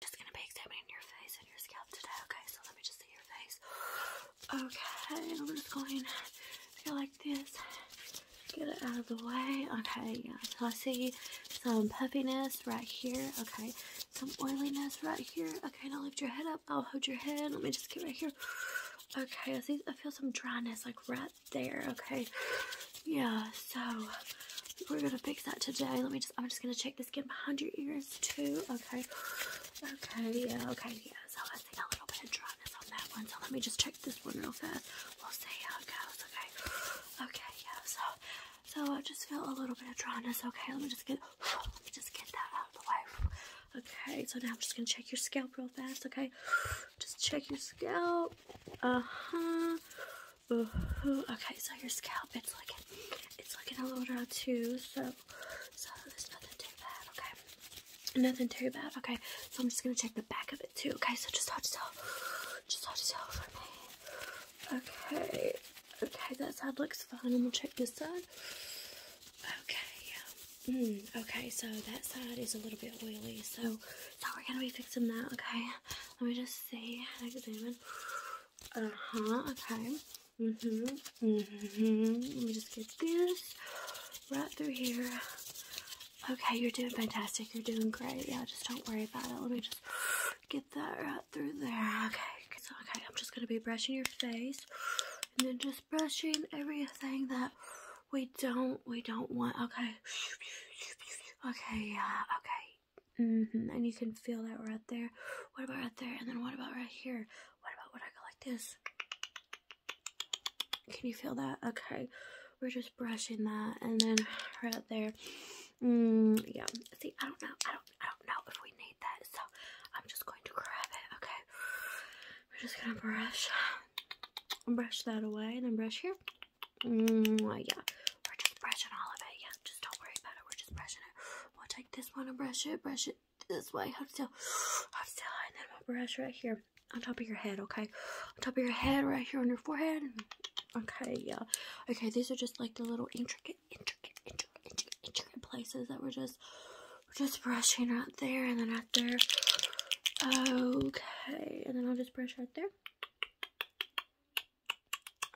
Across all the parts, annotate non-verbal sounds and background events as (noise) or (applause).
just gonna be examining your face and your scalp today, okay? So let me just see your face. Okay, I'm just going to go like this. Get it out of the way. Okay, yeah. So I see some puffiness right here. Okay, some oiliness right here. Okay, now lift your head up. I'll hold your head. Let me just get right here. Okay, I see I feel some dryness like right there. Okay. Yeah, so we're gonna fix that today. Let me just I'm just gonna check this. skin behind your ears too. Okay. Okay, yeah, okay, yeah. So I see a little bit of dryness on that one. So let me just check this one real fast. We'll see how it goes, okay. Okay, yeah, so so I just feel a little bit of dryness. Okay, let me just get let me just get that out of the way. Okay, so now I'm just gonna check your scalp real fast, okay? Just check your scalp. Uh-huh. Ooh, Okay, so your scalp, it's looking, it's looking a little dry too, so, so nothing too bad, okay? Nothing too bad, okay? So I'm just gonna check the back of it too, okay? So just hold yourself, just hold yourself for me. Okay, okay, that side looks fine. I'm gonna check this side. Okay, mm, okay, so that side is a little bit oily, so, so we're gonna be fixing that, okay? Let me just see, uh huh. Okay. Mhm. mhm. Let me just get this right through here. Okay, you're doing fantastic. You're doing great. Yeah, just don't worry about it. Let me just get that right through there. Okay. So okay, I'm just gonna be brushing your face, and then just brushing everything that we don't we don't want. Okay. Okay. Yeah. Okay. Mm-hmm. And you can feel that right there. What about right there? And then what about right here? What about when I go like this? Can you feel that? Okay. We're just brushing that. And then right there. Mm, yeah. See, I don't know. I don't, I don't know if we need that. So I'm just going to grab it. Okay. We're just going to brush. Brush that away. And then brush here. Mm, yeah, we're just brushing all of it. Yeah, just don't worry about it. We're just brushing it. We'll take this one and brush it. Brush it this way. Hold still. Hold still. And then we'll brush right here on top of your head, okay? On top of your head, right here on your forehead. Okay, yeah. Okay, these are just like the little intricate, intricate, intricate, intricate, intricate places that we're just, we're just brushing right there and then right there. Okay, and then I'll just brush right there.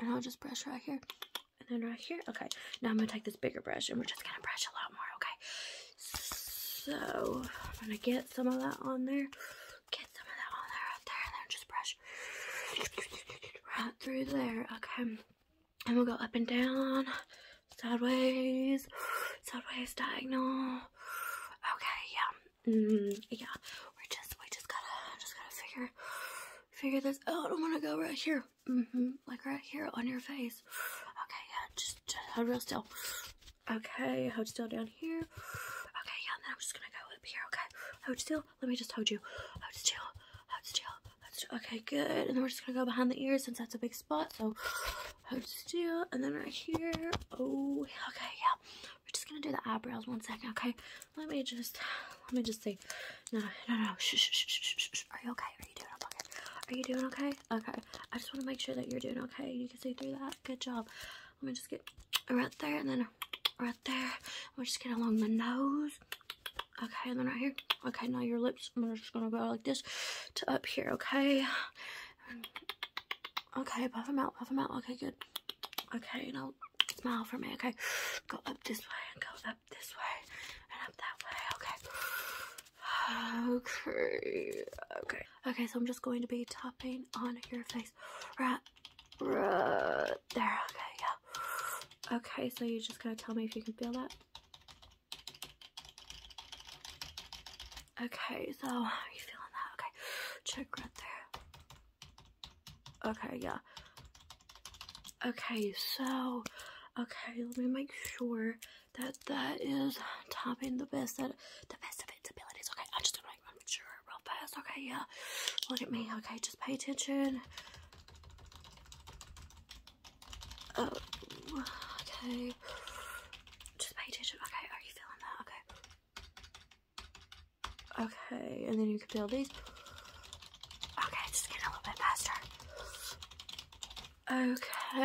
And I'll just brush right here. And then right here. Okay. Now I'm going to take this bigger brush and we're just going to brush a lot more. Okay. So I'm going to get some of that on there. Get some of that on there right there. And just brush right through there. Okay. And we'll go up and down. Sideways. Sideways diagonal. Okay. Yeah. Mm, yeah, we're just we just gotta just gotta figure figure this out. I'm gonna go right here, mm-hmm. like right here on your face. Okay, yeah, just, hold real still. Okay, hold still down here. Okay, yeah, and then I'm just gonna go up here. Okay, hold still. Let me just hold you. Hold still. Hold still. Okay, good. And then we're just gonna go behind the ears since that's a big spot. So hold still, and then right here. Oh, okay, yeah. We're just gonna do the eyebrows one second, okay? Let me just, let me just see. No, no, no. Shh, shh, shh, shh, Are you okay? Are you doing okay? Are you doing okay? Okay. I just want to make sure that you're doing okay. You can see through that. Good job. Let me just get right there and then right there. We're just get along the nose. Okay, and then right here. Okay, now your lips. I'm just gonna go like this to up here. Okay. Okay, puff them out, puff them out. Okay, good. Okay, now smile for me. Okay, go up this way and go up this way and up that way. Okay. Okay. Okay. Okay, so I'm just going to be tapping on your face. Right. Right there. Okay, yeah. Okay, so you just going to tell me if you can feel that. Okay, so are you feeling that? Okay, check right there. Okay, yeah. Okay, so, okay, let me make sure that that is tapping the best, that, the best of its abilities. Okay, I'm just want to make, sure real fast. Okay, yeah. Look at me. Okay, just pay attention. Oh, okay. Just pay attention. Okay, are you feeling that? Okay. Okay, and then you can feel these. Okay, just getting a little bit faster.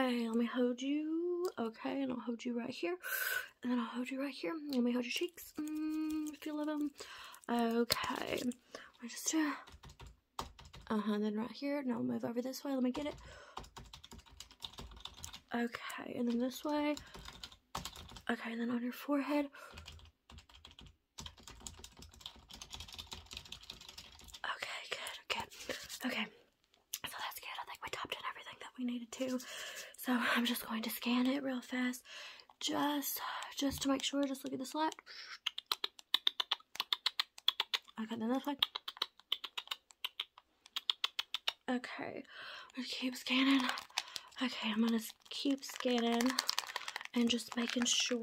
Okay, let me hold you. Okay, and I'll hold you right here. And then I'll hold you right here. Let me hold your cheeks. Mm, if you love them. Okay. I just do. Uh-huh, then right here. Now I'll move over this way. Let me get it. Okay, and then this way. Okay, and then on your forehead. Okay, good, Okay. Okay, so that's good. I think we topped in everything that we needed to. So (laughs) I'm just going to scan it real fast. Just, just to make sure. Just look at this light. Okay, then this way. Okay, we keep scanning. Okay, I'm gonna keep scanning and just making sure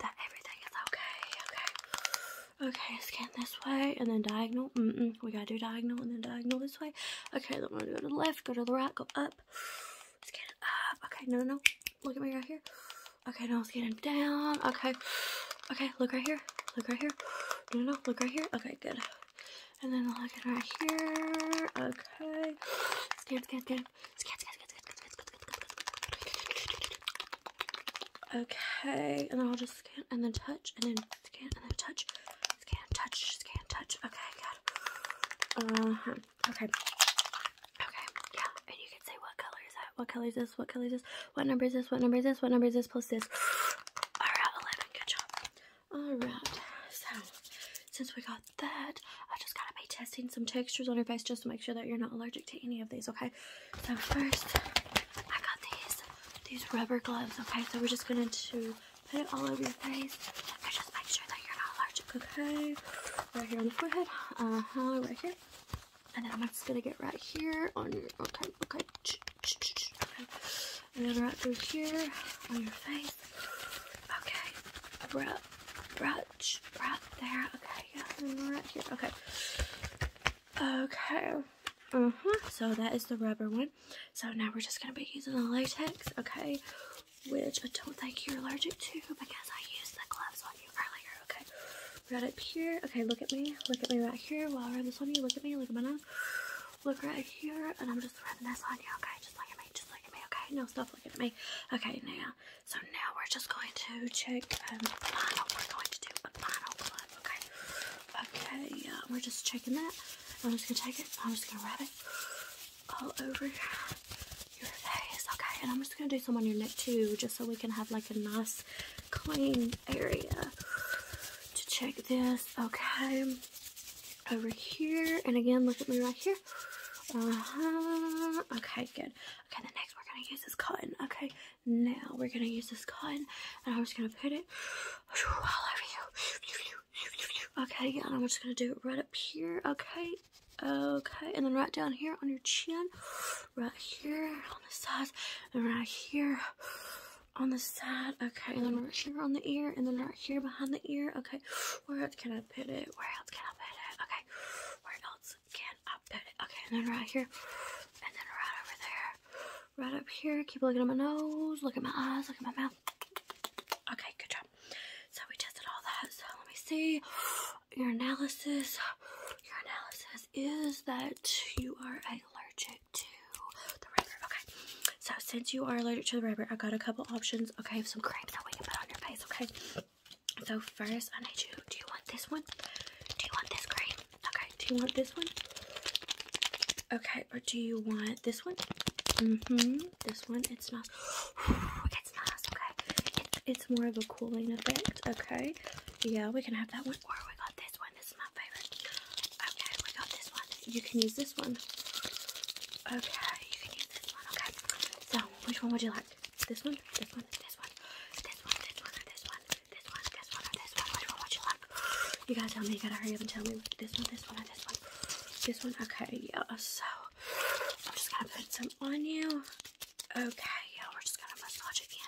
that everything is okay. Okay, okay, scan this way and then diagonal. Mm -mm, we gotta do diagonal and then diagonal this way. Okay, then we're gonna go to the left, go to the right, go up. Scan it up. Okay, no, no, look at me right here. Okay, now I'm scanning down. Okay, okay, look right here, look right here. No, no, look right here. Okay, good. And then I'll get right here. Okay. Scan, scan, scan. Scan, scan, scan, scan, scan, scan, Okay. And then I'll just scan and then touch and then scan and then touch. Scan, touch, scan, touch. Okay, good. Uh-huh. Okay. Okay. Yeah. And you can say what color is that? What color is this? What color is this? What number is this? What number is this? What number is this plus this? Alright, 11, good job. Alright, so since we got that, i just got to be testing some textures on your face just to make sure that you're not allergic to any of these, okay? So first, I got these, these rubber gloves, okay? So we're just going to to put it all over your face just make sure that you're not allergic, okay? Right here on the forehead, uh-huh, right here. And then I'm just gonna get right here on okay, okay, and then right through here on your face. Okay. Right, right, right there. Okay. Yeah. right here. Okay. Okay. Uh mm-hmm. huh. So that is the rubber one. So now we're just gonna be using the latex. Okay. Which I don't think you're allergic to because I used the gloves on you earlier. Okay. Right up here. Okay. Look at me. Look at me right here. While I rub this one, you, look at me. Look at my nose. Look right here, and I'm just rubbing this on you, okay? Just look at me, just look at me, okay? No, stop looking at me. Okay, now, so now we're just going to check um, We're going to do a final clip, okay? Okay, we're just checking that. I'm just gonna take it, I'm just gonna rub it all over your face, okay? And I'm just gonna do some on your neck too, just so we can have like a nice clean area to check this. Okay. Over here. And again, look at me right here. Uh-huh, okay, good. Okay, the next we're going to use this cotton. Okay, now we're going to use this cotton. And I'm just going to put it all over you. Okay, and I'm just going to do it right up here. Okay. Okay, and then right down here on your chin. Right here on the sides. And right here on the side, okay, and then right here on the ear, and then right here behind the ear, okay, where else can I put it, where else can I put it, okay, where else can I put it, okay, and then right here, and then right over there, right up here, keep looking at my nose, look at my eyes, look at my mouth, okay, good job, so we tested all that, so let me see, your analysis, your analysis is that you are allergic to the rubber. Okay, so since you are allergic to the rubber, I got a couple options. Okay, some cream that we can put on your face. Okay, so first I need you. Do you want this one? Do you want this cream? Okay, do you want this one? Okay, or do you want this one? Mm-hmm. This one. It smells. it smells. Okay. it's more of a cooling effect. Okay. Yeah, we can have that one. Or we got this one one. This is my favorite. Okay, we got this one. You can use this one. Okay, you can use this one. Okay. So, which one would you like? This one? This one? This one? This one? This one? Or this one? This one? This one? Or this one? Which one would you like? You gotta tell me. You gotta hurry up and tell me. This one? This one? Or this one? This one? Okay, yeah. So, I'm just gonna put some on you. Okay, yeah. We're just gonna massage again.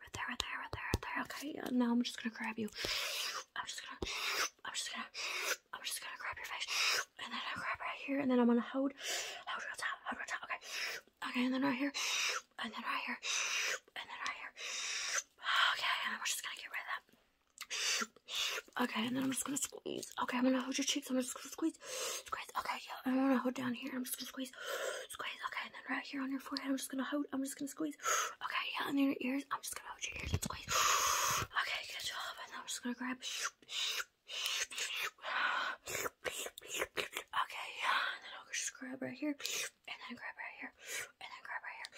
right there, right there, right there, right there. Okay, yeah, now I'm just gonna grab you. I'm just gonna, I'm just gonna, I'm just gonna grab your face, and then i grab right here, and then I'm gonna hold, hold real tight, hold real tight. Okay, okay, and then right here, and then right here, and then right here. Okay, and then we just gonna get rid of that. Okay, and then I'm just gonna squeeze. Okay, I'm gonna hold your cheeks. I'm just gonna squeeze, squeeze. Okay, yeah, I'm gonna hold down here. I'm just gonna squeeze squeeze. Okay, and then right here on your forehead, I'm just gonna hold. I'm just gonna squeeze. (gasps) Okay, yeah, and in your ears, I'm just gonna hold your ears and squeeze. (gasps) Okay, good job. And then I'm just gonna grab. (sighs) Okay, yeah, and then I'll just grab right here, and then grab right here, and then grab right here.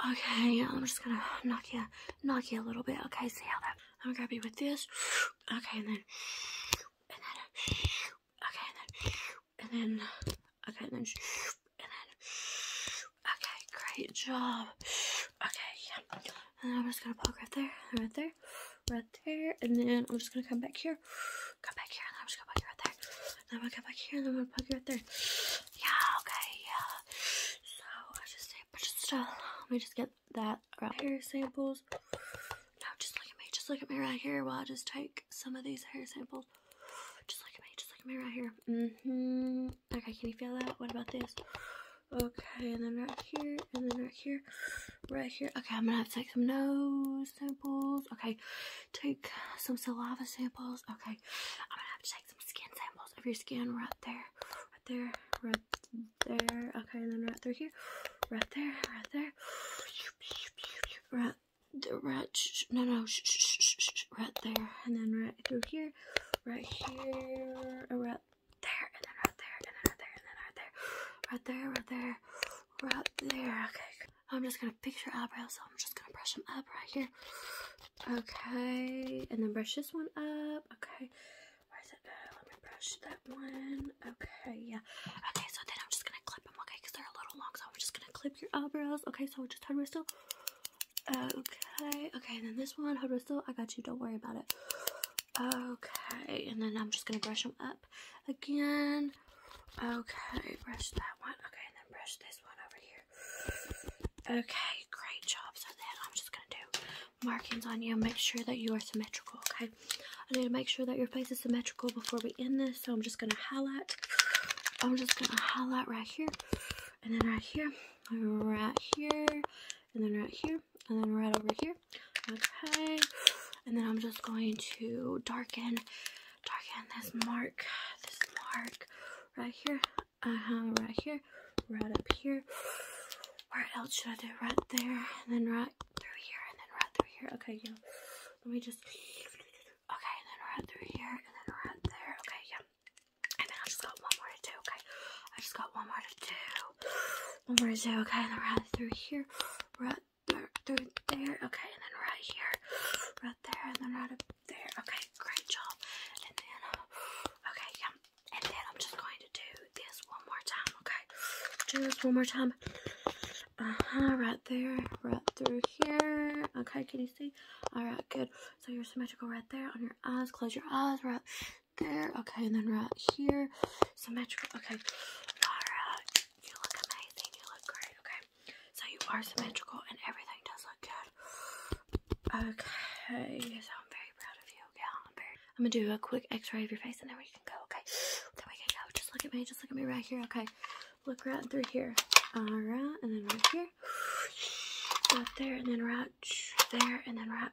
Okay, I'm just gonna knock you, knock you a little bit. Okay, see how that. I'm gonna grab you with this. Okay, and then, and then okay, and then, and then, okay, and then, and then, okay, great job, okay, yeah, and I'm just gonna poke right there, right there, right there, and then I'm just gonna come back here, come back here, and then I'm just gonna poke you right there, and i come back here, and then I'm you right there, yeah, okay, yeah, so I just say, a bunch of let me just get that right hair samples. No, just look at me, just look at me right here while I just take some of these hair samples. Just look at me, just look at me right here. hmm Okay, can you feel that? What about this? Okay, and then right here, and then right here, right here. Okay, I'm gonna have to take some nose samples. Okay, take some saliva samples. Okay, I'm gonna have to take some skin samples of your skin right there, right there, right there. Okay, and then right through here. Right there, right there. Right there, right, no, no, right there. And then right through here, right here, uh, right there, and then right there, and then right there, and then right there. Right there, right there, right there. Okay, I'm just gonna fix your eyebrows, so I'm just gonna brush them up right here. Okay, and then brush this one up. Okay. Let me brush that one. Okay, yeah. Okay, so then I'm just gonna clip them, okay, they're a little long, so I'm just gonna clip your eyebrows. Okay, so just head Okay, okay, then this one, head I got you, don't worry about it. Okay, and then I'm just gonna brush them up again. Okay, brush that one. Okay, and then brush this one over here. Okay, great job. So then I'm just gonna do markings on you make sure that you are symmetrical, okay? I need to make sure that your face is symmetrical before we end this, so I'm just gonna highlight. I'm just gonna highlight right here, and then right here, right here, and then right here, and then right over here, okay? And then I'm just going to darken, darken this mark, this mark right here, uh-huh, right here, right up here. Where else should I do? Right there, and then right through here and then right through here. Okay, yeah. Let me just. Okay, and then right through here and then right there. Okay, yeah. And then I just got one more to do. Okay, I just got one more to do. One more to do. Okay, and then right through here, right through there. Okay, and then right here, right there, and then right there. Okay, great job. And then, okay, yeah and then I'm just going to do this one more time, okay? Do this one more time. Uh-huh, right there, right through here. Okay, can you see? Alright, good. So you're symmetrical right there on your eyes. Close your eyes right there. Okay, and then right here. Symmetrical. Okay. Alright. You look amazing. You look great, okay? So you are symmetrical and everything does look good. Okay. So I'm very proud of you. Yeah, I'm very I'm gonna do a quick x-ray of your face and then we can go, okay? Then we can go. Just look at me, just look at me right here, okay? Look right through here. Alright, and then right here. Right there, and then right there, and then right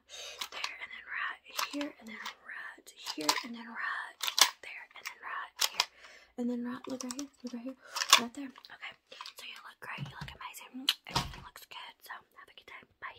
there, and then right here, and then right here, and then right there, and then right here. And then right, look right here, look right here, right there. Okay, so you look great, you look amazing, everything looks good, so have a good day. Bye.